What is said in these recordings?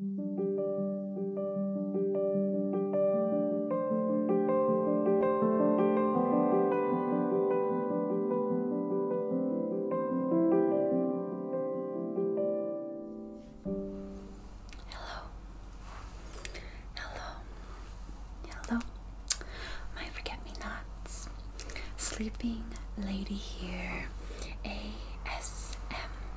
Hello. Hello. Hello. My forget me nots. Sleeping lady here. A S M.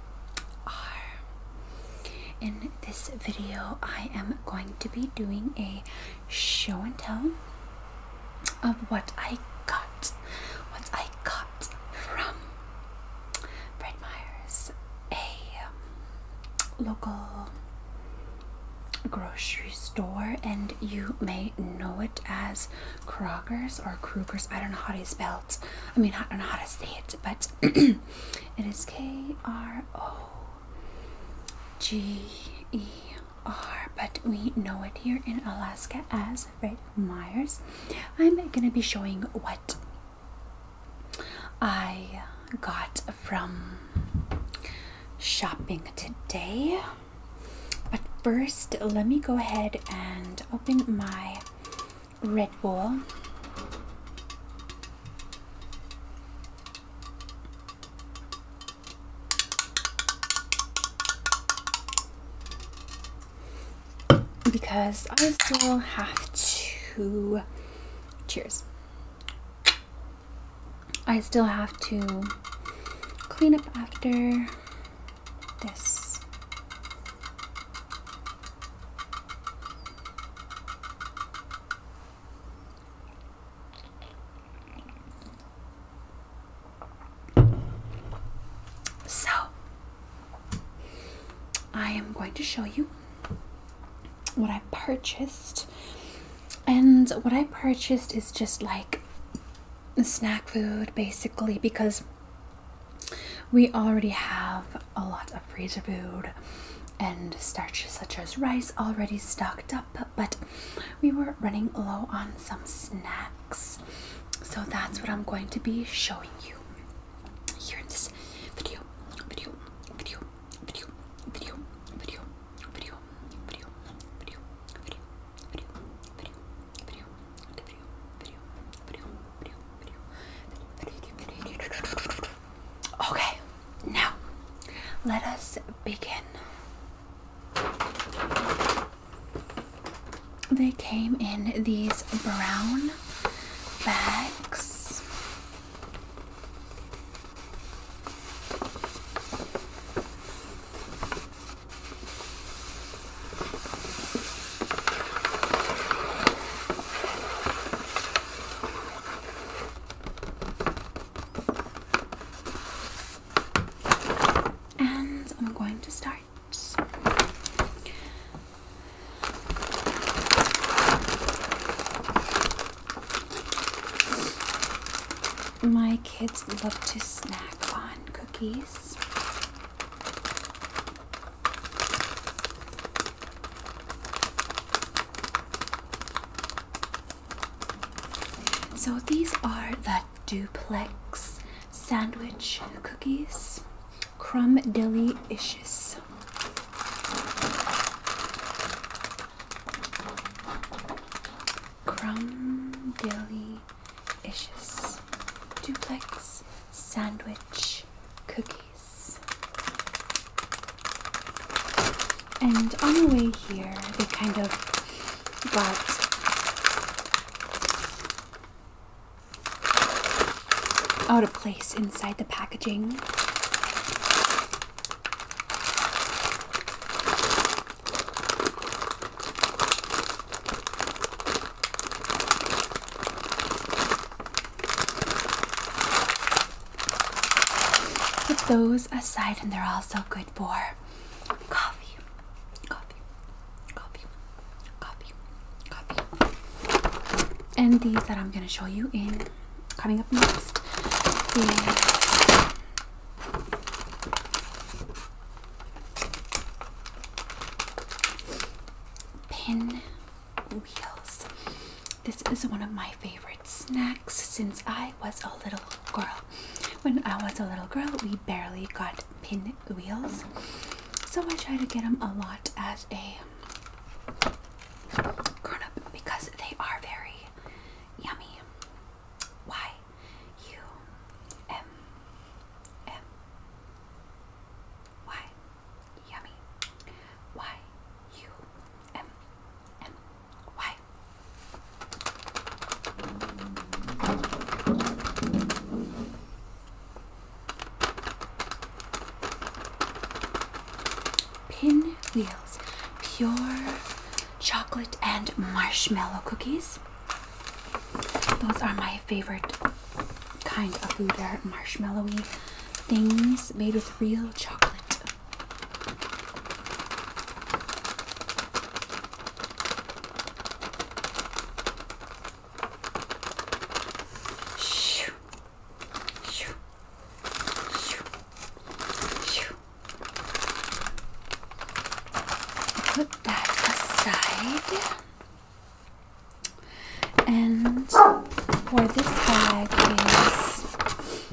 In this video, I am going to be doing a show and tell of what I got, what I got from Fred Meyers, a um, local grocery store, and you may know it as Kroger's or Kruger's. I don't know how to spell it. I mean, I don't know how to say it, but it is K R O G E R. But we know it here in Alaska as right Myers. I'm gonna be showing what I got from shopping today. But first, let me go ahead and open my Red wall, Because I still have to, cheers. I still have to clean up after this. So, I am going to show you what I purchased. And what I purchased is just like snack food basically because we already have a lot of freezer food and starches such as rice already stocked up, but we were running low on some snacks. So that's what I'm going to be showing you here in this video video, video, video, video, video, video, video, video, video, video. Okay, now let us begin. They came in these brown bags. And I'm going to start. My kids love to snack on cookies. So these are the duplex sandwich cookies, crumb delicious crumb dilly ishes, duplex sandwich cookies. And on the way here, they kind of got out of place inside the packaging. Put those aside, and they're also good for coffee. Coffee, coffee, coffee, coffee. And these that I'm going to show you in coming up next Pin This is one of my favorite snacks since I was a little girl. When I was a little girl, we barely got pinwheels, So I try to get them a lot as a grown up because they are very yummy. Why? U M M Y Yummy Y U M M Y Pinwheels Pure Chocolate and Marshmallow Cookies those are my favorite kind of food. marshmallowy things made with real chocolate. Shoo. Shoo. Shoo. Shoo. Put that aside. And for this bag is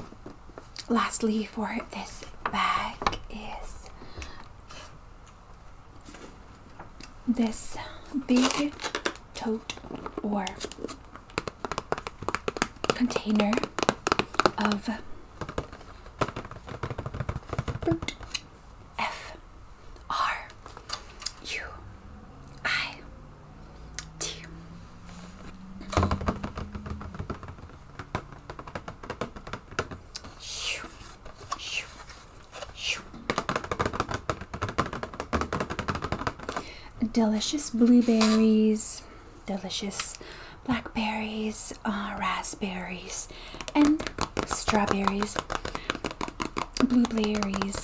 lastly for this bag is this big tote or container of F R U I T. Delicious blueberries delicious blackberries, uh, raspberries, and strawberries, blueberries,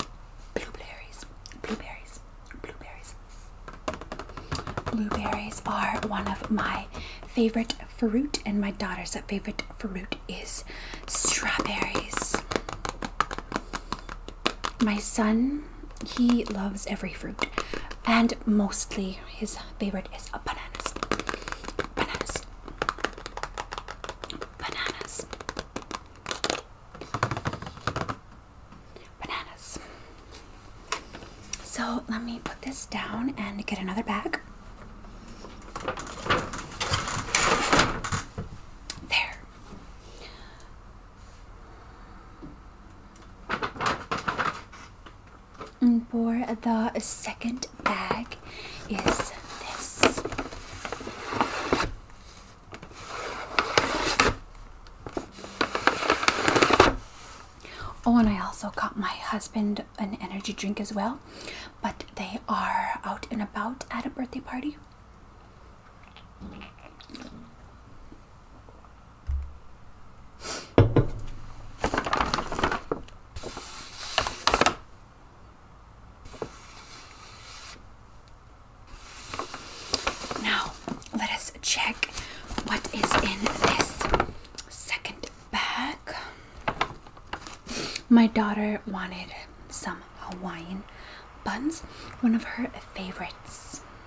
blueberries, blueberries, blueberries. Blueberries are one of my favorite fruit, and my daughter's favorite fruit is strawberries. My son, he loves every fruit and mostly his favorite is bananas. Bananas. Bananas. Bananas. So let me put this down and get another bag. There. And for the second bag is this. Oh, and I also got my husband an energy drink as well, but they are out and about at a birthday party. Now, let us check what is in this second bag. My daughter wanted some Hawaiian buns, one of her favorites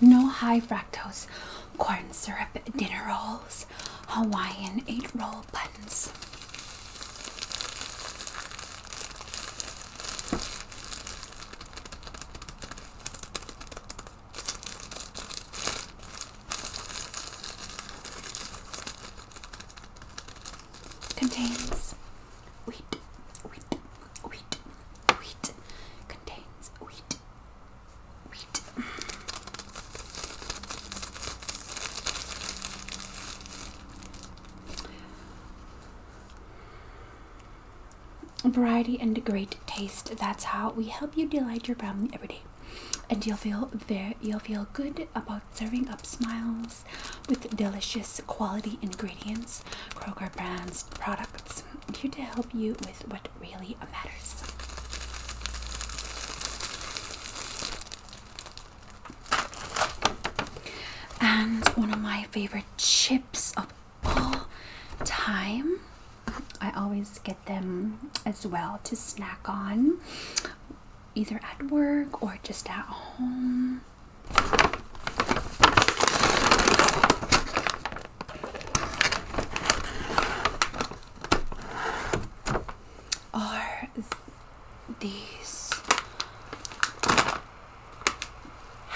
no high fructose corn syrup dinner rolls, Hawaiian eight roll buns. Contains Wheat, wheat, wheat, wheat contains wheat, wheat. Variety and great taste. That's how we help you delight your family every day. And you'll feel very, you'll feel good about serving up smiles with delicious quality ingredients, Kroger brands products here to help you with what really matters. And one of my favorite chips of all time. I always get them as well to snack on, either at work or just at home are these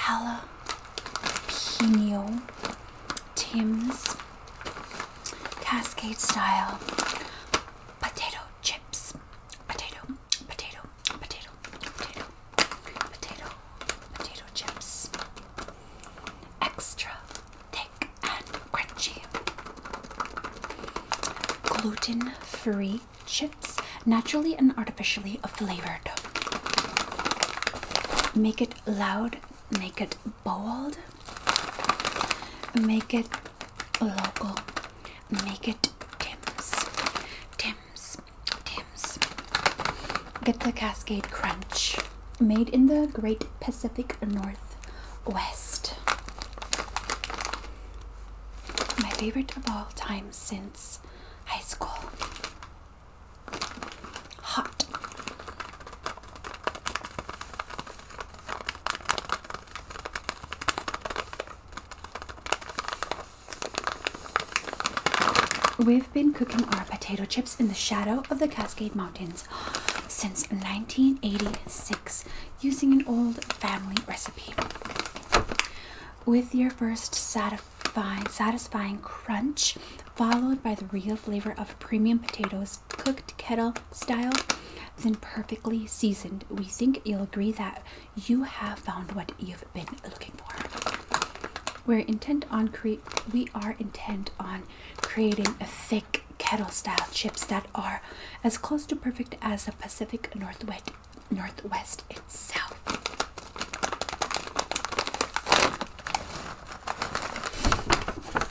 jalapeno Tim's cascade style potato chips potato potato potato, potato, potato, potato chips. Extra thick and crunchy. Gluten free chips, naturally and artificially flavored. Make it loud, make it bold, make it local, make it Tim's. Tim, Tim's. Tim's. Get the Cascade Crunch. Made in the Great Pacific Northwest. My favorite of all time since high school. Hot. We've been cooking our potato chips in the shadow of the Cascade Mountains since 1986 using an old family recipe. With your first satisfying, satisfying crunch, followed by the real flavor of premium potatoes cooked kettle style, then perfectly seasoned, we think you'll agree that you have found what you've been looking for. We're intent on create. We are intent on creating a thick kettle-style chips that are as close to perfect as the Pacific Northwest itself.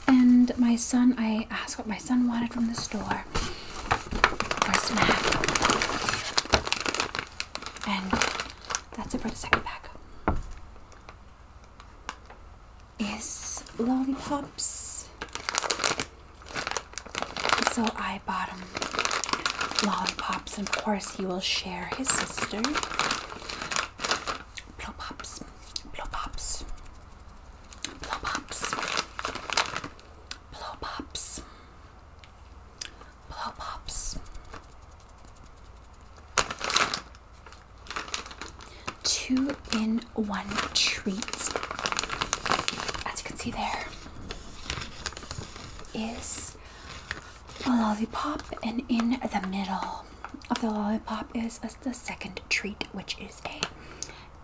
And my son, I asked what my son wanted from the store for snack. And that's it for the second pack. Is lollipops. So I bought him lollipops, and of course, he will share his sister. Blow pops, blow pops, blow pops, blow pops, blow Two in one treat. As you can see, there is a lollipop, and in the middle of the lollipop is the second treat, which is a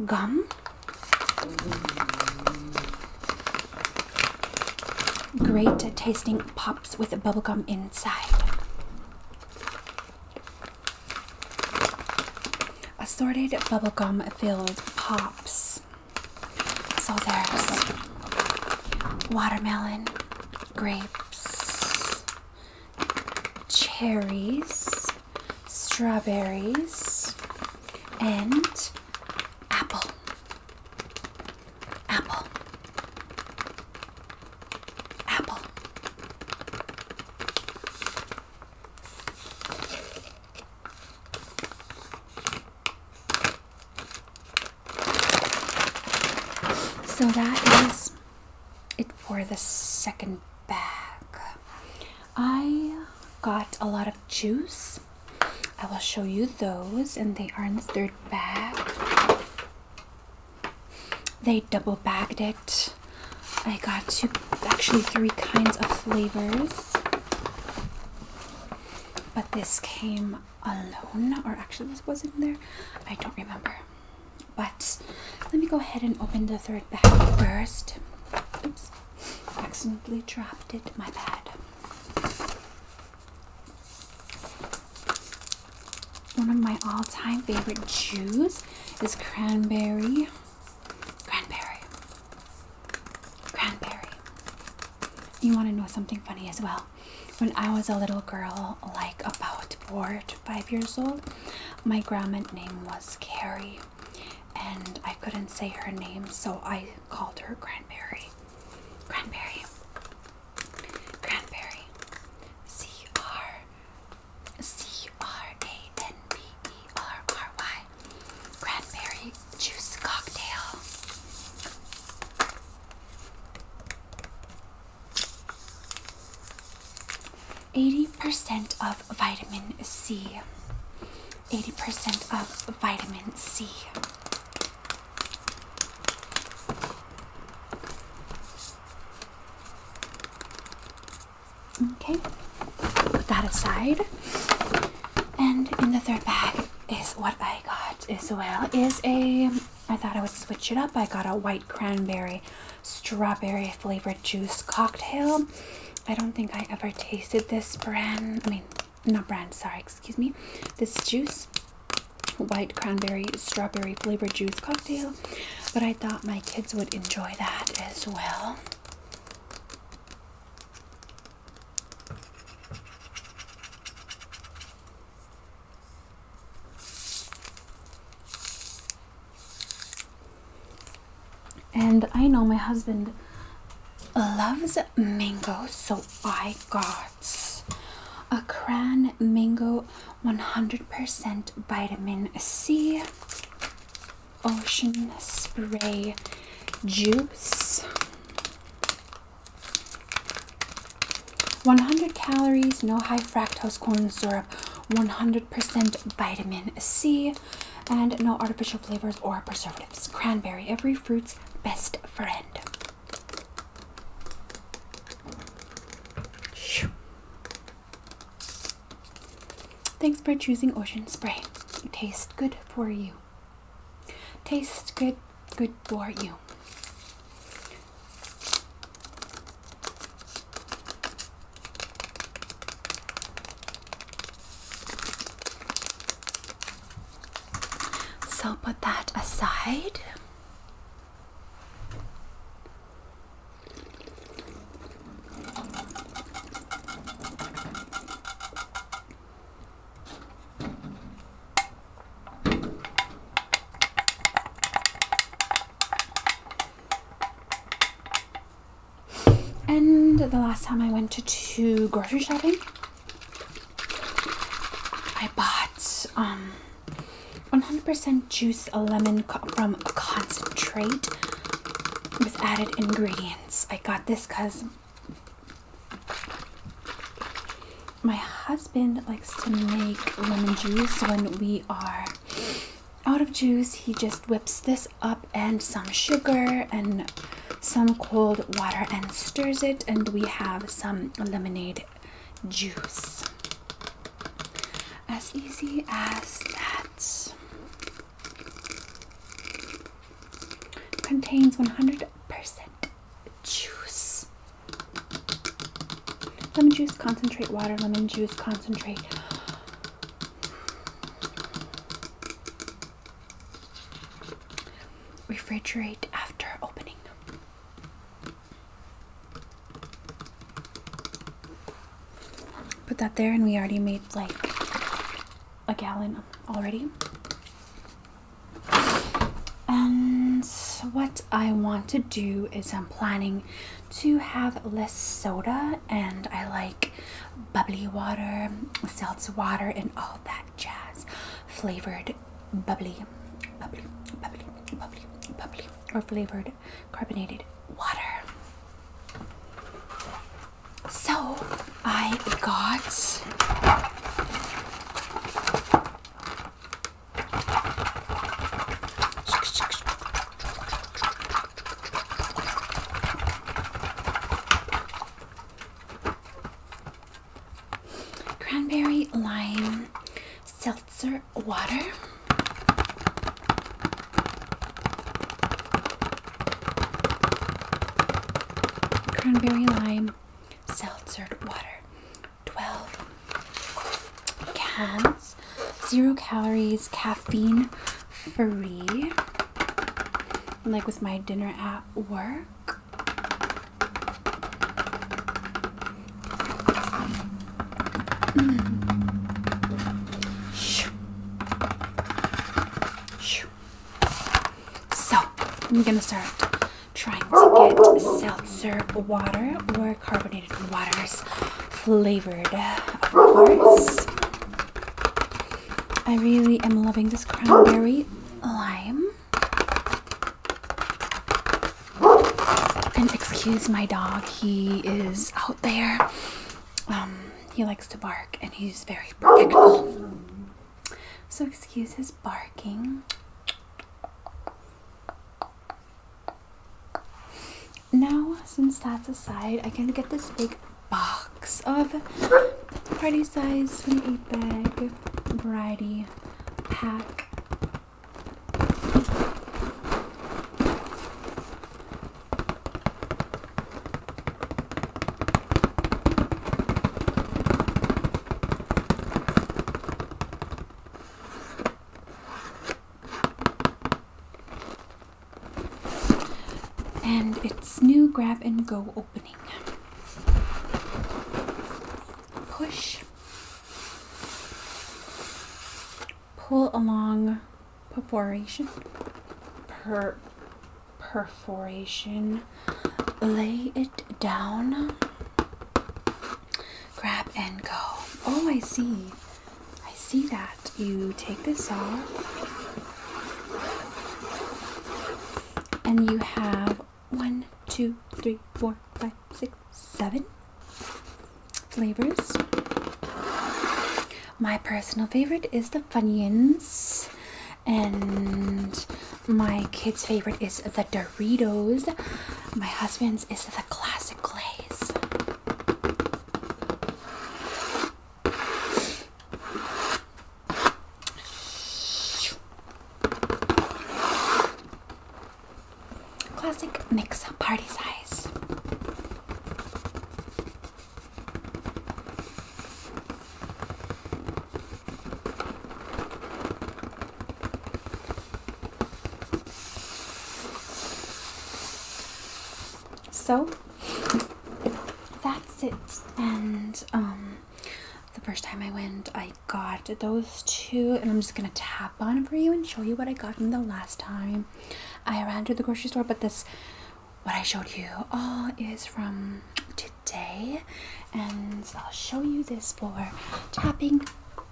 gum Great tasting pops with bubblegum inside. Assorted bubblegum filled pops. So there's watermelon, grapes, cherries, strawberries, and Apple. Apple. Apple. So that is it for the second bag. I got a lot of juice I will show you those, and they are in the third bag. They double bagged it. I got two, actually, three kinds of flavors. But this came alone, or actually, this wasn't there. I don't remember. But let me go ahead and open the third bag first accidentally dropped it. My bad. One of my all-time favorite juice is cranberry. Cranberry. Cranberry. You want to know something funny as well? When I was a little girl, like about four to five years old, my grandma's name was Carrie and I couldn't say her name, so I called her Grandberry. Grandberry. Grandberry. C R C R A N B E R R Y. Cranberry juice cocktail. Eighty percent of vitamin C. 80% of vitamin C. Okay, put that aside. And in the third bag is what I got as well. Is a I thought I would switch it up. I got a white cranberry strawberry flavored juice cocktail. I don't think I ever tasted this brand. I mean, not brand, sorry, excuse me. This juice, white cranberry strawberry flavored juice cocktail. But I thought my kids would enjoy that as well and I know my husband loves mango, so I got a Cran Mango 100% Vitamin C Ocean Spray Juice. 100 calories, no high fructose corn syrup, 100% vitamin C, and no artificial flavors or preservatives. Cranberry, every fruit's best friend. Thanks for choosing Ocean Spray. It tastes good for you. Tastes good, good for you. So put that aside. And the last time I went to, grocery shopping, I bought um 100% juice lemon from concentrate with added ingredients. I got this because my husband likes to make lemon juice when we are out of juice, he just whips this up and some sugar and some cold water and stirs it, and we have some lemonade juice. As easy as that. Contains 100% juice. Lemon juice concentrate, water, lemon juice concentrate. Refrigerate after opening. Put that there, and we already made like a gallon already. And what I want to do is I'm planning to have less soda, and I like bubbly water, seltz water, and all that jazz. Flavored bubbly, bubbly, bubbly, bubbly, bubbly, or flavored carbonated water. So I got. Cranberry lime seltzer water. Cranberry lime seltzer water. 12 cans zero calories, caffeine free. Like with my dinner at work. So, I'm gonna start trying to get seltzer water or carbonated waters, flavored, of I really am loving this cranberry lime. And excuse my dog, he is out there. Um, he likes to bark and he's very protective. So excuse his barking. Now, since that's aside, I can get this big box of party size 28 bag variety pack. And it's new grab and go opening. Push, pull along perforation, per perforation, lay it down, grab and go. Oh, I see. I see that. You take this off. And you have one, two, three, four, five, six, seven flavors. My personal favorite is the Funyuns. And my kid's favorite is the Doritos. My husband's is the classic glaze. Classic mix up party size. So that's it. And um, the first time I went, I got those two, and I'm just gonna tap on for you and show you what I got from the last time I ran to the grocery store. But this, what I showed you, all is from today, and I'll show you this for tapping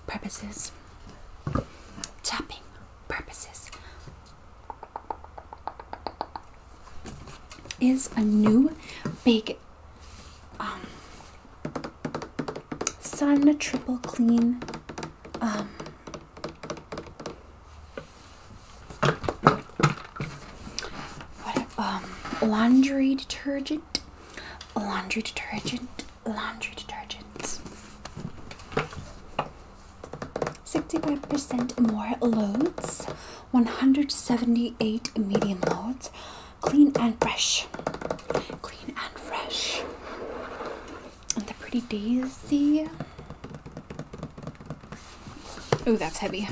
purposes. Chopping purposes is a new big um, Sauna Triple Clean um, um, laundry detergent. Laundry detergent laundry detergent. 65% more loads, 178 medium loads, clean and fresh. Clean and fresh. And the pretty daisy. Oh, that's heavy.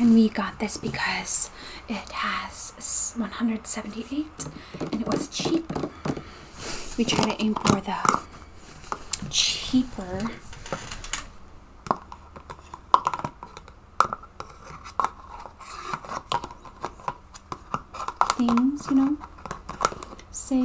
And we got this because it has 178 and it was cheap. We try to aim for the cheaper things, you know? Say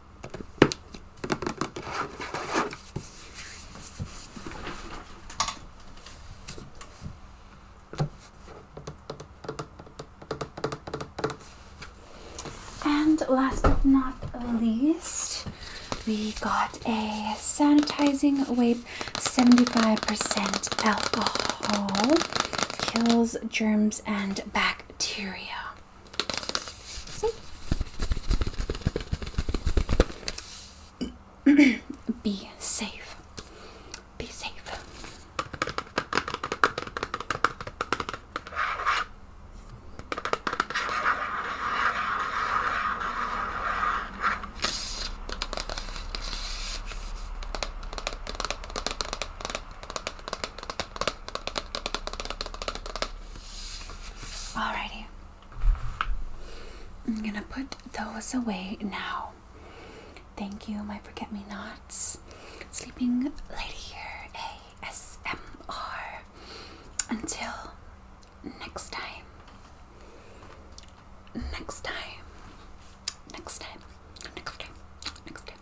And last but not least, we got a sanitizing wipe 75% alcohol kills germs and bacteria. See? Be safe. Be safe. Alrighty. I'm gonna put those away now. Thank you, my forget me nots. Sleeping Lady here, ASMR. Until next time. Next time. Next time. Next time. Next time.